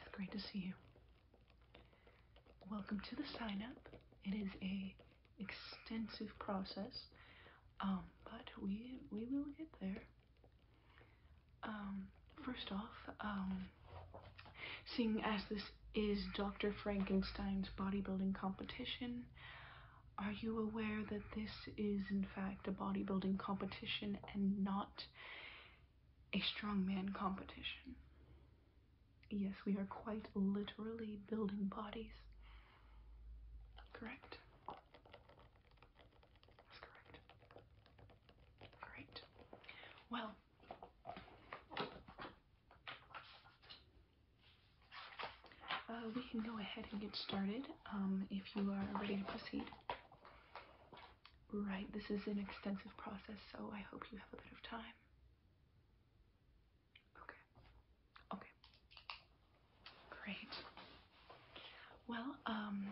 It's great to see you. Welcome to the sign up. It is a extensive process, um, but we we will get there. Um, first off, um, seeing as this is Dr. Frankenstein's bodybuilding competition, are you aware that this is, in fact, a bodybuilding competition and not a strongman competition? Yes, we are quite literally building bodies. Correct. That's correct. Great. Well, uh, we can go ahead and get started um, if you are ready to proceed. Right, this is an extensive process, so I hope you have a bit of time. Okay. Okay. Great. Well, um,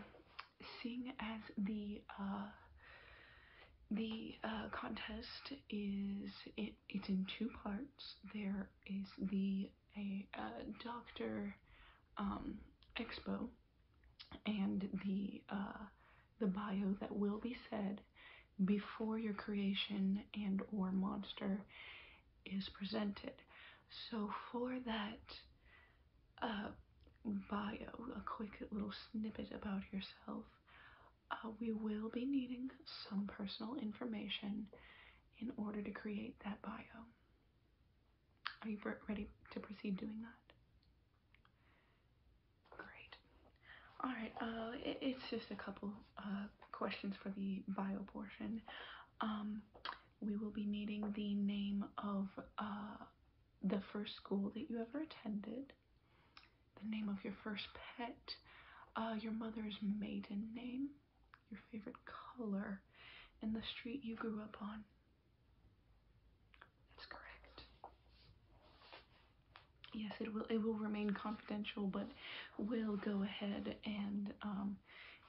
seeing as the uh, the uh, contest is it, it's in two parts. There is the a, doctor um, expo and the uh, the bio that will be said before your creation and or monster is presented. So for that uh, bio, a quick little snippet about yourself, uh, we will be needing some personal information in order to create that bio. Are you ready to proceed doing that? Great. All right, uh, it's just a couple uh, questions for the bio portion. Um, we will be needing the name of uh, the first school that you ever attended, the name of your first pet, uh, your mother's maiden name, your favorite color, and the street you grew up on. That's correct. Yes, it will it will remain confidential, but we'll go ahead and um,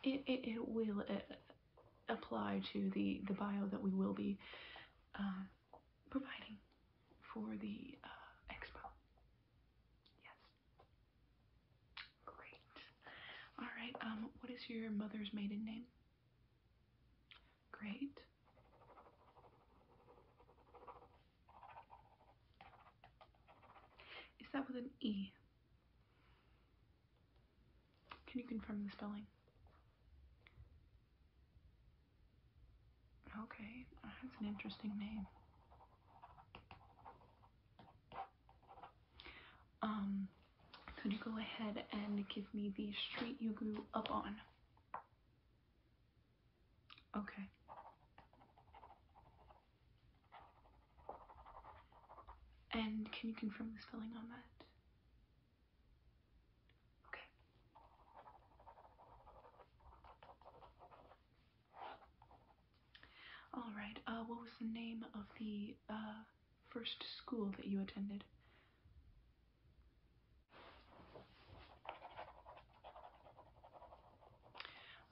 it, it, will uh, apply to the, the bio that we will be uh, providing for the uh, expo. Yes. Great. All right. Um, what is your mother's maiden name? Great. Is that with an E? Can you confirm the spelling? Okay, that's an interesting name. Um, could you go ahead and give me the street you grew up on? Okay. And can you confirm the spelling on that? Okay. All right. Uh, what was the name of the uh, first school that you attended?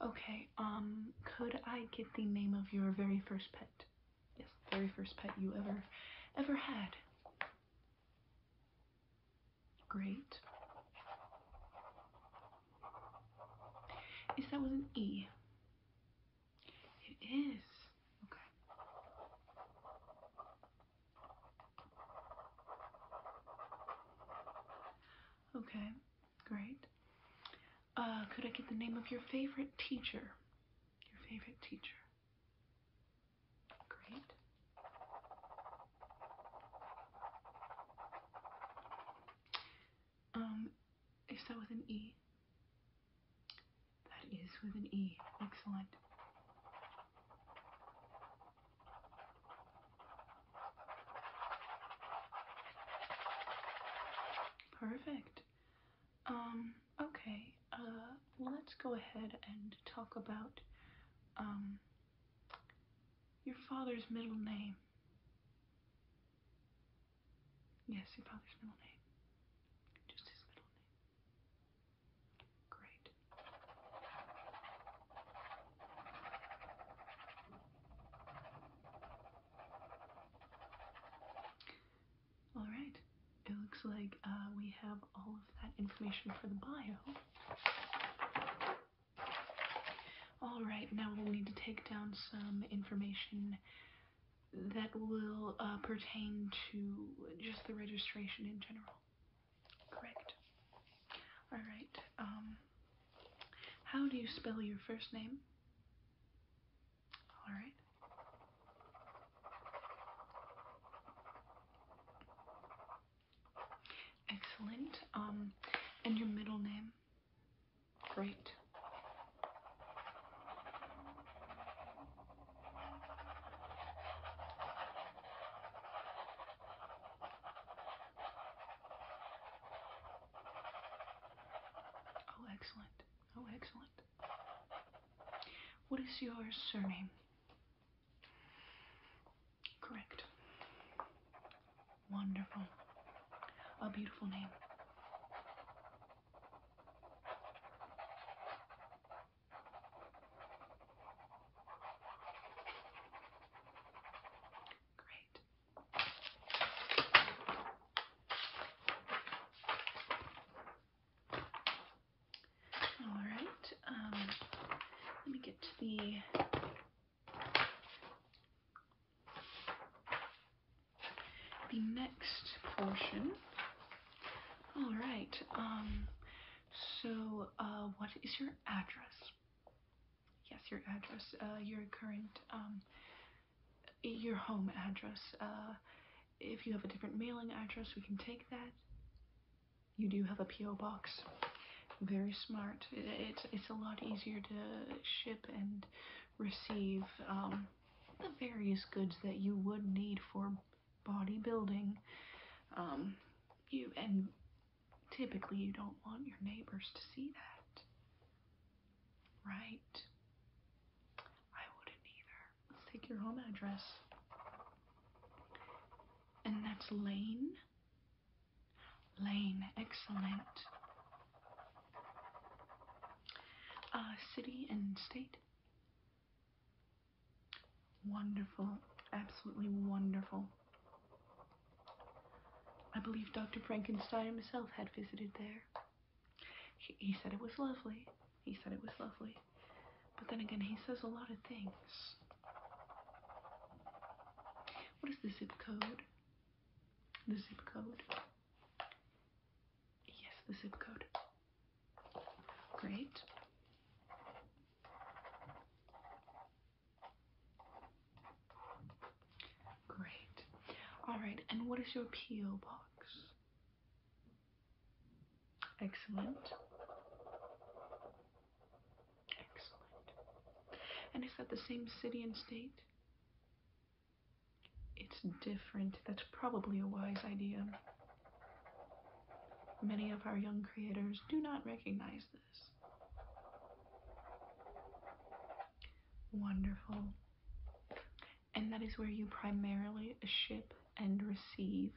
Okay. Um, could I get the name of your very first pet? Yes, very first pet you ever, ever had. Great. Is that was an E? It is. Okay. Okay, great. Uh, could I get the name of your favorite teacher? Your favorite teacher. Great. Um, is that with an E? That is with an E. Excellent. Perfect. Um, okay. Uh, let's go ahead and talk about, um, your father's middle name. Yes, your father's middle name. Just his middle name. Great. All right. It looks like uh, we have all of that information for the bio. All right, now we'll need to take down some information that will uh, pertain to just the registration in general. Correct. All right. Um, how do you spell your first name? All right. Excellent. Um, and your middle name? Great. Oh, excellent. Oh, excellent. What is your surname? Correct. Wonderful. A beautiful name. Great. All right. Um, let me get to the the next portion. All right. Um, so, uh, what is your address? Yes, your address. Uh, your current um, Your home address. Uh, if you have a different mailing address, we can take that. You do have a PO box very smart. It's it's a lot easier to ship and receive um, the various goods that you would need for bodybuilding. Um, you and typically you don't want your neighbors to see that, right? I wouldn't either. Let's take your home address, and that's Lane Lane, excellent. Uh, city and state. Wonderful, absolutely wonderful. I believe Dr. Frankenstein himself had visited there. he said it was lovely. He said it was lovely. But then again, he says a lot of things. What is the zip code? The zip code. Yes, the zip code. Great. Great. Alright, and what is your P.O. box? Excellent. Excellent. And is that the same city and state? It's different. That's probably a wise idea. Many of our young creators do not recognize this. Wonderful. And that is where you primarily ship and receive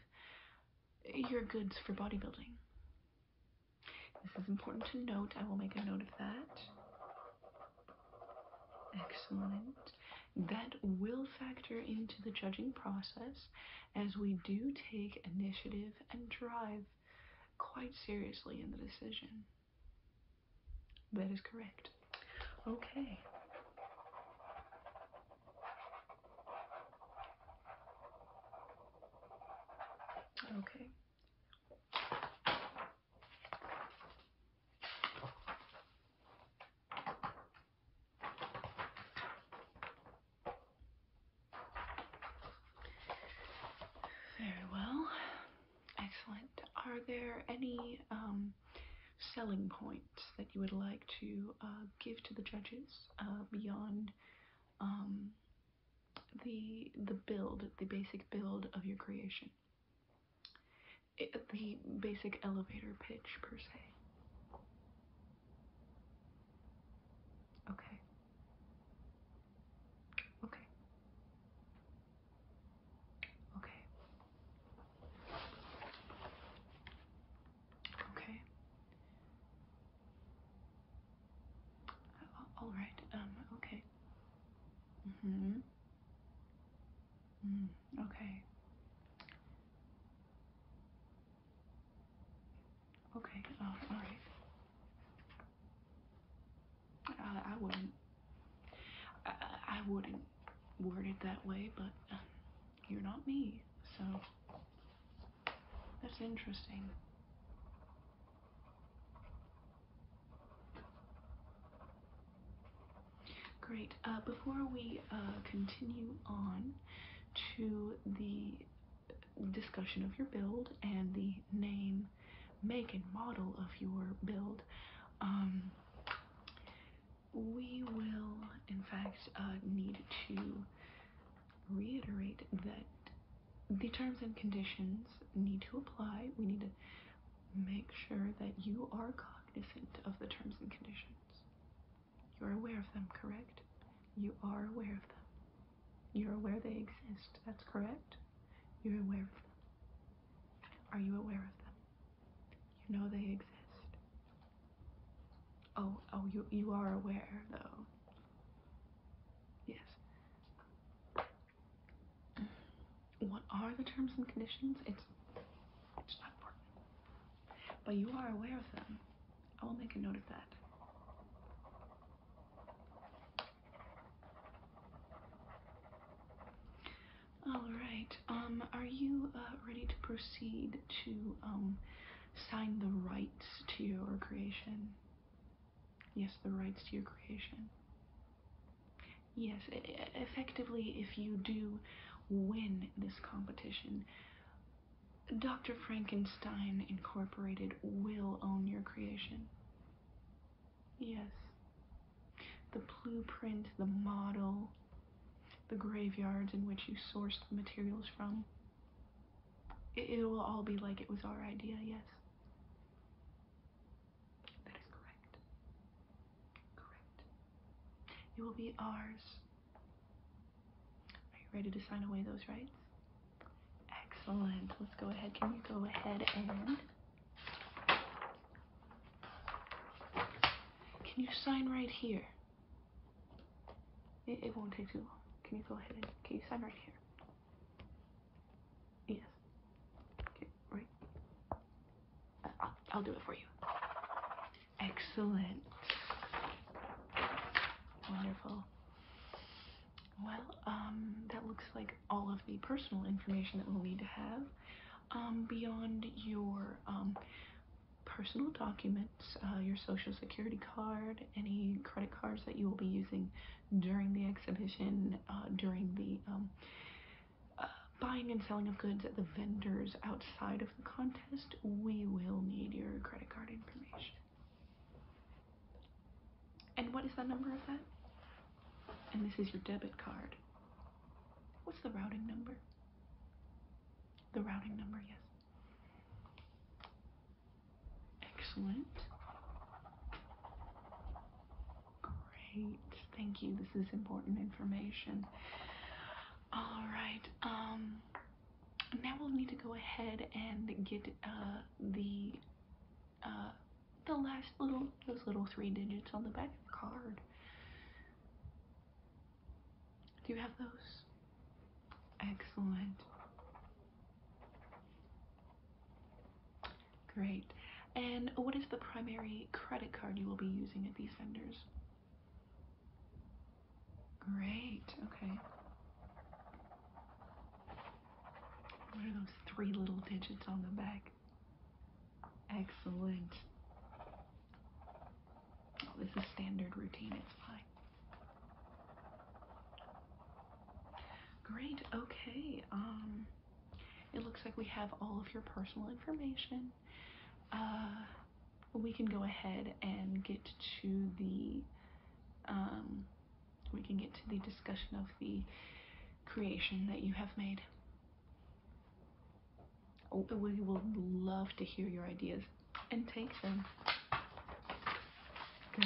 your goods for bodybuilding. This is important to note. I will make a note of that. Excellent. That will factor into the judging process as we do take initiative and drive quite seriously in the decision. That is correct. Okay. Okay. Very well. Excellent. Are there any um, selling points that you would like to uh, give to the judges uh, beyond um, the the build, the basic build of your creation. the basic elevator pitch per se. Okay. Okay. Okay. Okay. All right. Um. Okay. Mm-hmm. mm-hmm. okay. Okay, oh, all right. I, I wouldn't. I, I wouldn't word it that way, but um, you're not me, so that's interesting. Great. Uh, before we uh, continue on to the discussion of your build and the name, make, and model of your build, um, we will, in fact, uh, need to reiterate that the terms and conditions need to apply. We need to make sure that you are cognizant of the terms and conditions. You're aware of them, correct? You are aware of them. You're aware they exist, that's correct? You're aware of them. Are you aware of them? You know they exist. Oh, oh, you, you are aware, though. Yes what are the terms and conditions? It's, it's not important. But you are aware of them. I will make a note of that. Alright, um, are you uh, ready to proceed to um, sign the rights to your creation? Yes, the rights to your creation. Yes, effectively, if you do win this competition, Dr. Frankenstein Incorporated will own your creation. Yes. The blueprint, the model, the graveyards in which you sourced the materials from. It, will all be like it was our idea, yes. That is correct. Correct. It will be ours. Are you ready to sign away those rights? Excellent. Let's go ahead. Can you go ahead and. Can you sign right here? It, it won't take too long. Can you go ahead and. Can you sign right here? Yes. Okay, right. I'll, I'll do it for you. Excellent. Wonderful. Well, um, that looks like all of the personal information that we'll need to have. Um, beyond your um, personal documents, uh, your social security card, any credit cards that you will be using during the exhibition, uh, during the um, uh, buying and selling of goods at the vendors outside of the contest, we will need your credit card information. And what is the number of that? And this is your debit card. What's the routing number? The routing number, yes. Excellent. Great. Thank you. This is important information. All right. Um now we'll need to go ahead and get uh, the uh, the last little those little three digits on the back of the card. Do you have those? Excellent. Great. And what is the primary credit card you will be using at these vendors? Great, okay. What are those three little digits on the back? Excellent. Oh, this is standard routine, it's fine. Great, okay. Um it looks like we have all of your personal information. Uh, we can go ahead and get to the um, we can get to the discussion of the creation that you have made. Oh. We will love to hear your ideas and take them. Great.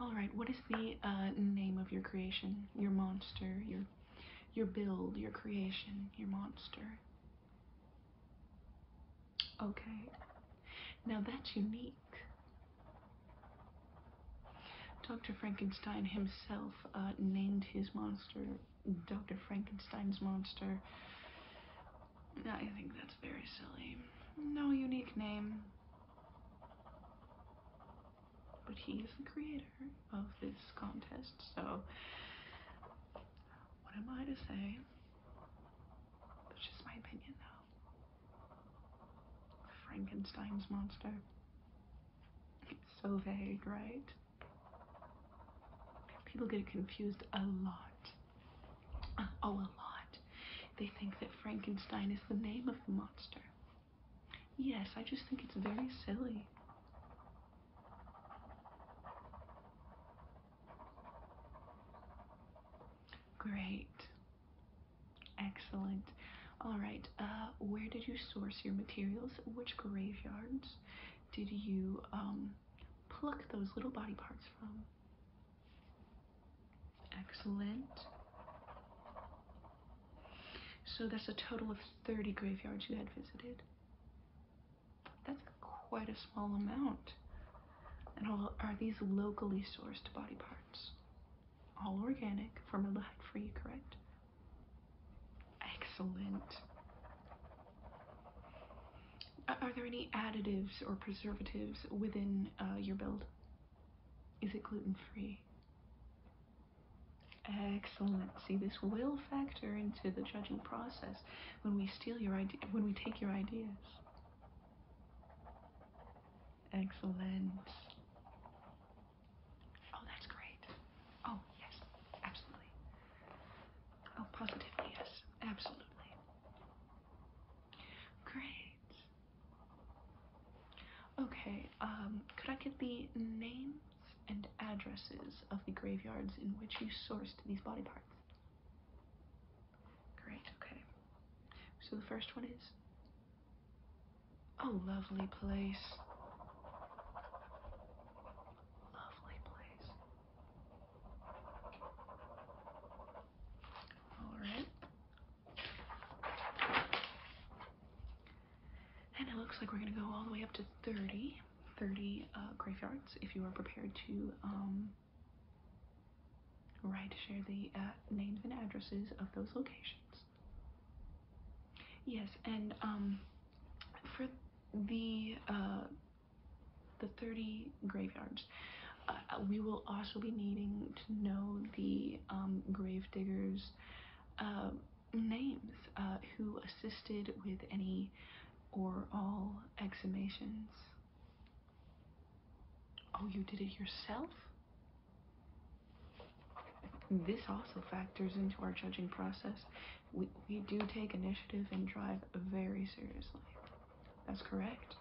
All right, what is the uh, name of your creation? Your monster, your your build, your creation, your monster. Okay. Now that's unique. Dr. Frankenstein himself uh, named his monster Dr. Frankenstein's monster. I think that's very silly. No unique name. But he is the creator of this contest, so what am I to say? That's just my opinion, though. Frankenstein's monster. It's so vague, right? People get it confused a lot. Oh, a lot. They think that Frankenstein is the name of the monster. Yes, I just think it's very silly. Great. Excellent. All right, uh, where did you source your materials? Which graveyards did you um, pluck those little body parts from? Excellent. So that's a total of 30 graveyards you had visited. That's quite a small amount. And all, are these locally sourced body parts? All organic, formaldehyde free, correct? Excellent. Are there any additives or preservatives within uh, your build? Is it gluten free? Excellent. See, this will factor into the judging process when we steal your when we take your ideas. Excellent. Oh, that's great. Oh, yes, absolutely. Oh, positively, yes, absolutely. Great. Okay, um, could I get the names and addresses of the graveyards in which you sourced these body parts? Great, okay. So the first one is. A oh, lovely place. Lovely place. Alright. And it looks like we're gonna go all the way up to 30, uh, graveyards if you are prepared to um, write, share the uh, names and addresses of those locations. Yes, and um, for the uh, the 30 graveyards, uh, we will also be needing to know the um, grave diggers' uh, names uh, who assisted with any or all exhumations. Oh, you did it yourself? This also factors into our judging process. We, we do take initiative and drive very seriously. That's correct.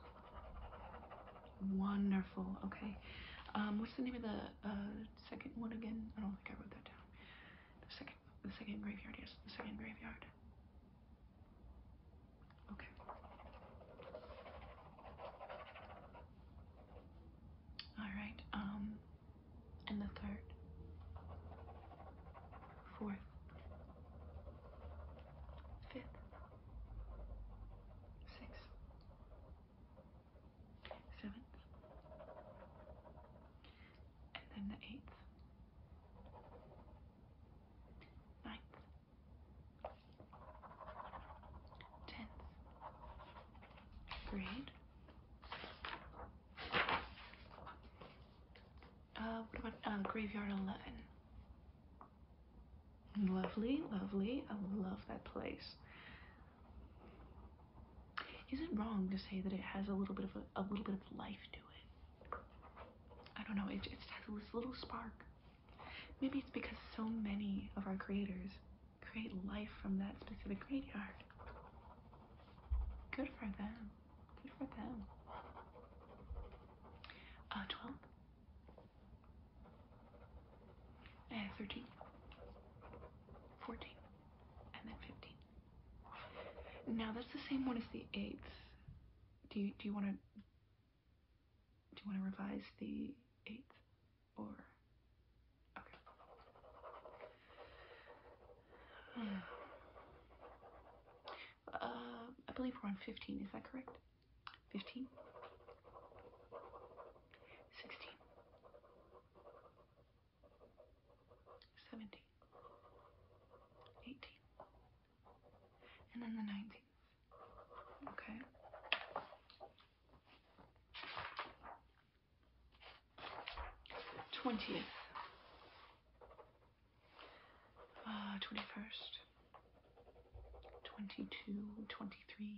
Wonderful. Okay. Um, what's the name of the uh, second one again? I don't think I wrote that down. The second, the second graveyard. Yes, the second graveyard. Okay. All right. Um, and the third, fourth, fifth, sixth seventh, and then the eighth, ninth, tenth grade. Uh, what about uh, graveyard eleven? Lovely, lovely. I love that place. Is it wrong to say that it has a little bit of a, little bit of life to it? I don't know. It, it has this little spark. Maybe it's because so many of our creators create life from that specific graveyard. Good for them. Good for them. Uh, 12 and 13, and then 15. Now that's the same one as the eighth. Do you do you want to do you want to revise the eighth or okay? Uh, I believe we're on 15. Is that correct? 15, 16, 17, 18, and then the 19th. Okay. Twentieth, uh, twenty-first, twenty-two, twenty-three,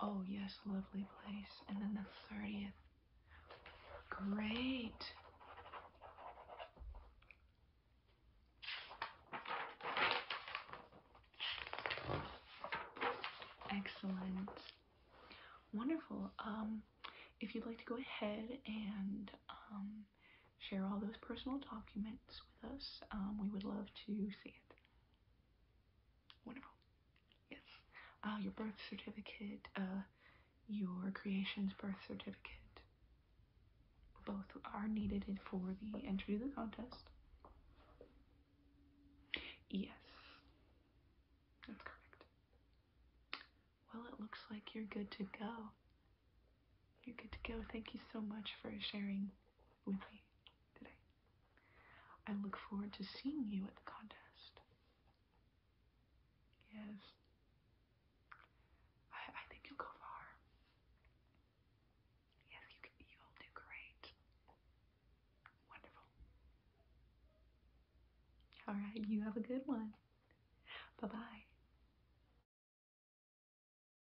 Oh, yes, lovely place. And then the 30th. Great. Excellent. Wonderful. Um, if you'd like to go ahead and um, share all those personal documents with us. Um, we would love to see it. Wonderful. Yes. Uh, your birth certificate, uh, your creation's birth certificate. Both are needed for the entry to the contest. Yes. That's correct. Well, it looks like you're good to go. You're good to go. Thank you so much for sharing with me today. I look forward to seeing you at the contest. Yes. I, I think you'll go far. Yes, you you'll do great. Wonderful. All right, you have a good one. Bye bye.